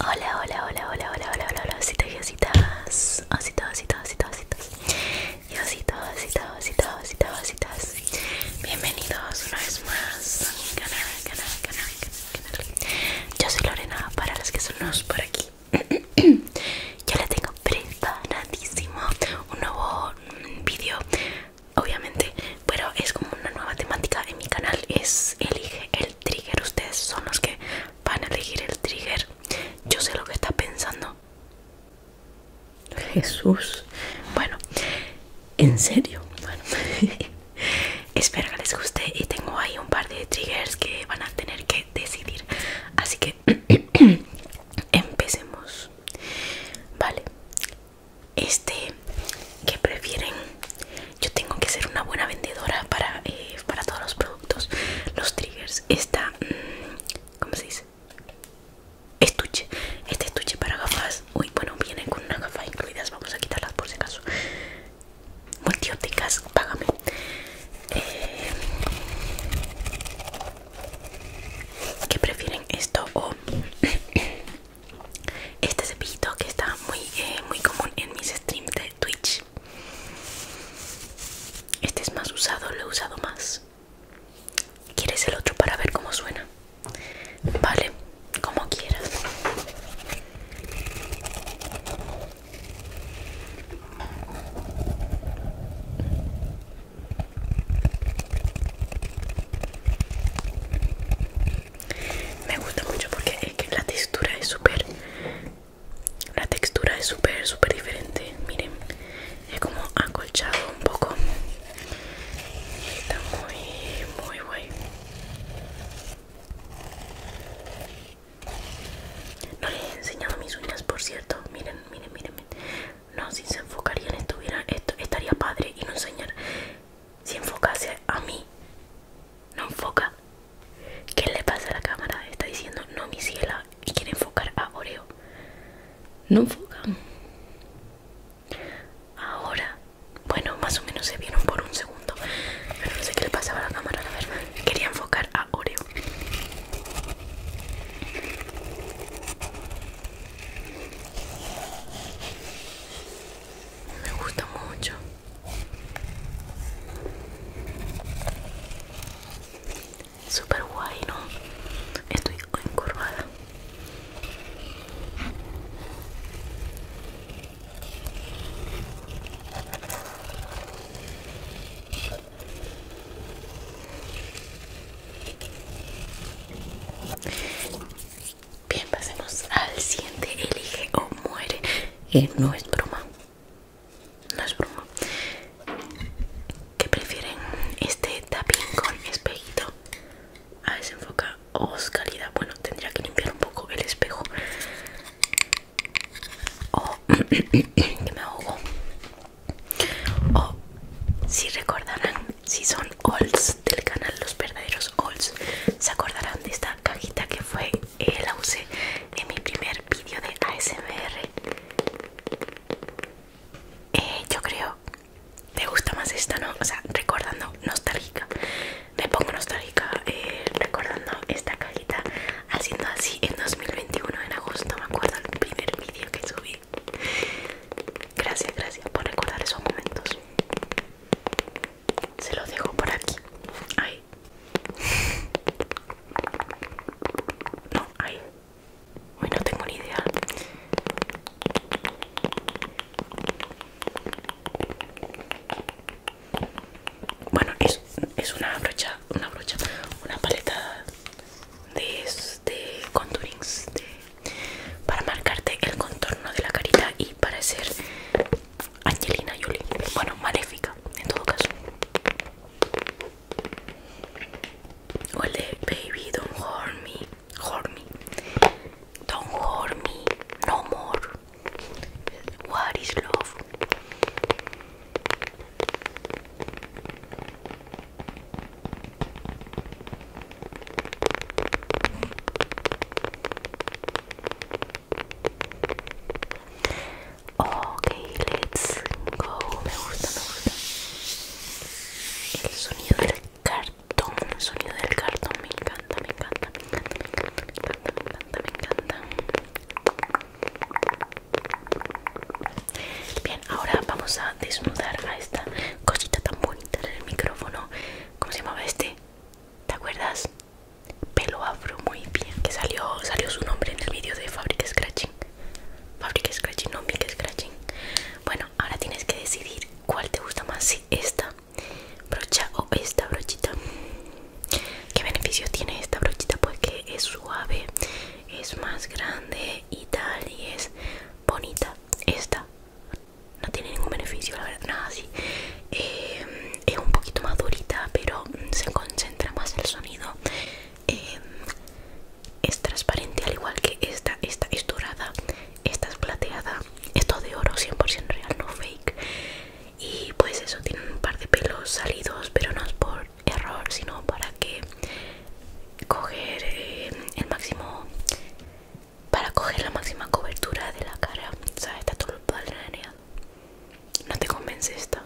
Hola, hola, hola, hola, hola, hola, hola, hola, y ositas, ositos, ositos, ositos, ositos, y ositos, ositos, ositos, ositos, ositas. Bienvenidos una vez más a mi canal, canal, canal, canal, canal. Yo soy Lorena, para los que son nuevos por aquí. Yo les tengo preparadísimo un nuevo video obviamente pero es como una nueva temática en mi canal es elige el trigger ustedes son los que van a elegir el trigger yo sé lo que está pensando Jesús bueno en serio espero que les guste y tengo ahí un par de triggers que van a tener que decidir así que empecemos vale este que prefieren yo tengo que ser una buena vendedora para eh, para todos los productos los triggers esta mm, cómo se dice estuche este estuche para gafas uy bueno viene con una gafas incluidas vamos a quitarlas por si acaso multióticas págame eh, que prefieren esto o este cepillito que está muy, eh, muy común en mis streams de Twitch. Este es más usado, lo he usado más. ¿Quieres el otro para ver cómo suena? Vale, como quieras. Me gusta mucho porque es que la textura es súper... La textura es súper, súper diferente. Miren, es como acolchado un poco. Está muy, muy guay. No les he enseñado mis uñas, por cierto. Miren, miren, miren. No, si se enfocarían estuviera, esto, estaría padre y no enseñar. Si enfocase a mí, no enfoca. ¿Qué le pasa a la cámara? Está diciendo no, mi ciela, y quiere enfocar a Oreo. No enfoca. Ahora, bueno, más o menos se vieron por un segundo. Pero no sé qué le pasaba a la cámara, la verdad. Quería enfocar a Oreo. Me gusta mucho. Super guay, ¿no? Estoy encorvada. Bien, pasemos al siguiente. Elige o muere. Y eh, no es broma. No es broma. ¿Qué prefieren? Este tapping con espejito. A desenfoca oscuridad. Bueno, tendría que limpiar un poco el espejo. Oh, que me ahogo. O si recordarán, si son olds del canal, los verdaderos olds se acordarán de esta cajita que fue eh, la usé en mi primer vídeo de ASMR. Eh, yo creo, me gusta más esta, ¿no? O sea, recordando nostálgica. Me pongo nostálgica eh, recordando esta cajita haciendo así en 2021, en agosto. Me acuerdo el primer vídeo que subí Gracias, gracias por recordar esos momentos. Se los dejo por aquí. Ahí. No, ahí. Hoy no tengo ni idea. Bueno, es, es una brocha, una brocha, una paleta de de contourings para marcarte el contorno de la carita y para ser Angelina Jolie, bueno, maléfica en todo caso. O el de Baby Don't hurt Me, Don't hurt Me, No More, What is Love. Ok, let's go. Me gusta, me gusta. El sonido del cartón, el sonido del cartón me encanta, me me encanta, me encanta, me encanta, me encanta. Me encanta. Bien, ahora vamos a desnudar a esta cosita tan bonita del micrófono. ¿Cómo se llamaba este? ¿Te acuerdas? Pelo afro, muy bien. Que salió, salió su nombre en el vídeo de Fabric Scratching. Fabric Scratching, no Big Scratching. Bueno, ahora tienes que decidir cuál te gusta más, si esta brocha o esta brochita. ¿Qué beneficio tiene esta brochita? Pues que es suave es más grande y tal y es bonita esta no tiene ningún beneficio la verdad nada así eh, es un poquito más durita pero se concentra más el sonido eh, es transparente al igual que esta esta es dorada esta es plateada esto de oro 100% real no fake y pues eso tiene un par de pelos salidos pero no es por error, sino para que coger eh, el máximo para coger la máxima cobertura de la cara sabes está todo padre no te convence esto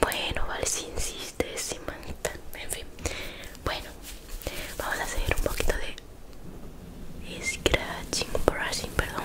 bueno vale si insistes si en fin bueno vamos a hacer un poquito de scratching brushing perdón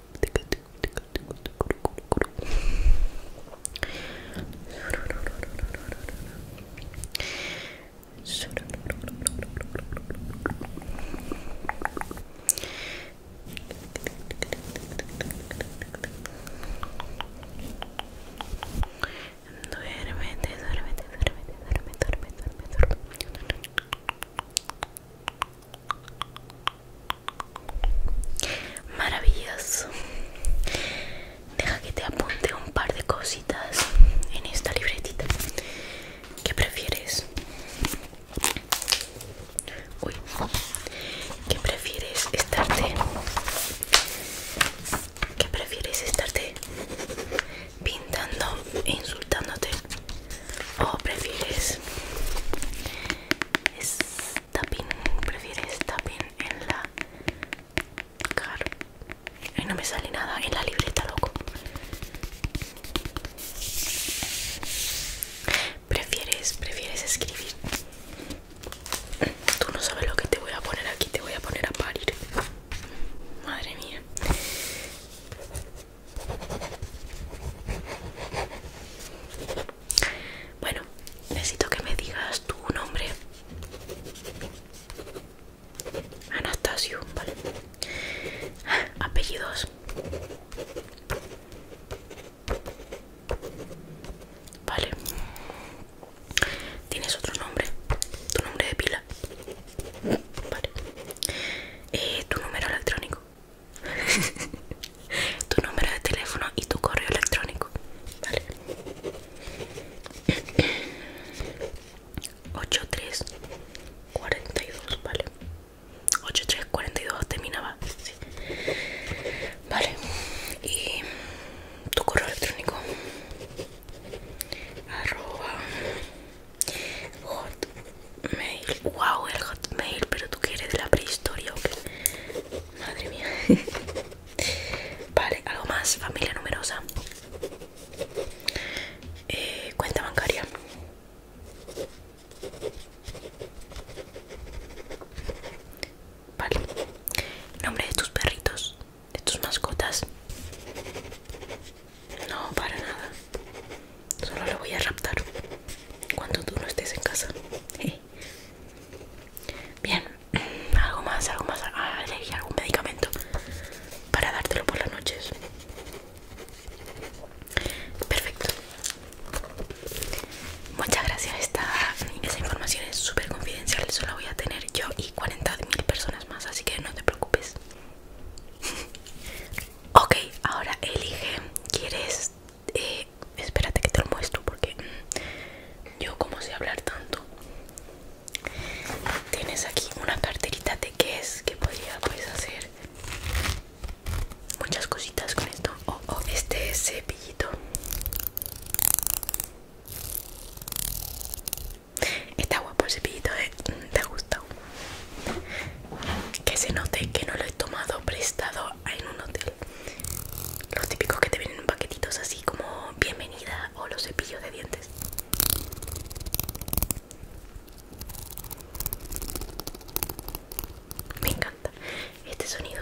Duérmete, duérmete, Maravillas. Deja que te apunte un par de cositas en esta libretita. ¿Qué prefieres? Uy, ¿qué prefieres estarte? ¿Qué prefieres estarte pintando e insultándote? ¿O prefieres es tapping, prefieres tapping en la car. Ay, no me sale nada en la libreta, loco. Prefieres, prefieres escribir. Tú no sabes lo que te voy a poner aquí, te voy a poner a parir. Madre mía. Bueno, necesito que me digas tu nombre. Anastasio, vale. Apellidos. Vale. ¿Tienes otro nombre? ¿Tu nombre de pila? Vale. Eh, ¿Tu número electrónico? tu número de teléfono y tu correo electrónico. Vale. 8342, vale. 8342 terminaba. Sí. Vale. Y tu correo electrónico. Arroba Hotmail. Wow, el Hotmail, pero tú quieres de la prehistoria o qué? Madre mía. vale, algo más, familia numerosa. Eh, cuenta bancaria. Vale. Nombre de tus perritos, de tus mascotas. No, para nada. Solo lo voy a raptar cuando tú no estés en casa. Bien, algo más, algo más. algún medicamento para dártelo por las noches. Perfecto. Muchas gracias. Esta, esa información es súper confidencial. Solo voy a tener yo y mil personas más, así que no te preocupes. Ok, ahora elige, ¿quieres? Eh, espérate que te lo muestro porque mm, yo como sé hablar tanto. Tienes aquí una carterita de qué es que podría pues, hacer muchas cositas con esto. o este cepillito. Está guapo el cepillito, mm, ¿te ha gustado Que se note que no lo he tomado prestado en un hotel. Los típicos que te vienen en paquetitos así como bienvenida o los cepillos de dientes. Me encanta este sonido.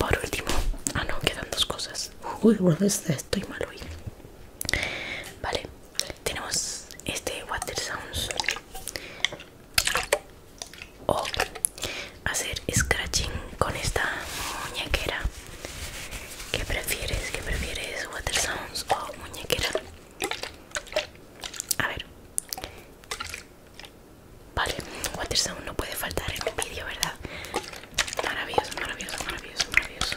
Por último, ah no, quedan dos cosas. Uy, estoy mal hoy. Vale, tenemos este Water Sounds o hacer scratching con esta muñequera ¿Qué prefieres? ¿Qué prefieres? ¿Water Sounds o muñequera? A ver. Vale, Water Sound no puede faltar en un vídeo, ¿verdad? Maravilloso, maravilloso, maravilloso, maravilloso.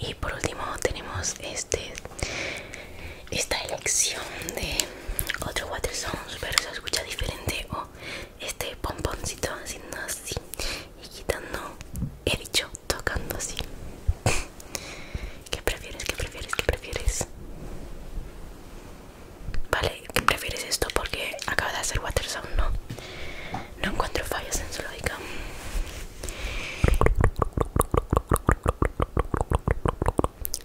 Y por último tenemos este esta elección de otro water Songs, pero se escucha diferente o este pomponcito haciendo así y quitando he dicho tocando así ¿Qué prefieres? ¿Qué prefieres? ¿Qué prefieres? Vale, ¿qué prefieres esto? Porque acaba de hacer water sound, ¿no? No encuentro fallas en su lógica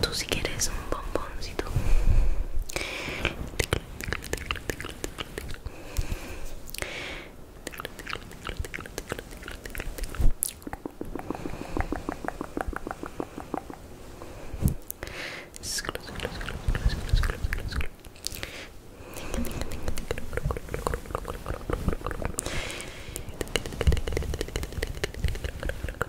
Tú si quieres un bomboncito.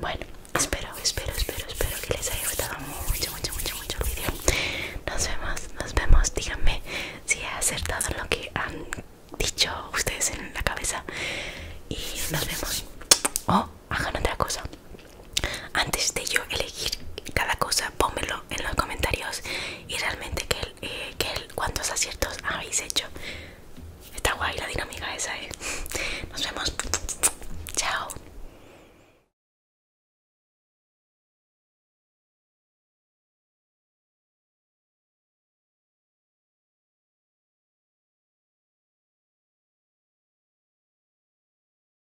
Bueno, espero, espero, espero, espero que les haya gustado mucho, mucho, mucho, mucho el video. Nos vemos, nos vemos. Díganme si he acertado lo que han dicho ustedes en la cabeza. Y nos vemos. O oh, hagan otra cosa antes de yo elegir cada cosa pónmelo en los comentarios y realmente que, él, eh, que cuántos aciertos habéis hecho está guay la dinámica esa eh nos vemos chao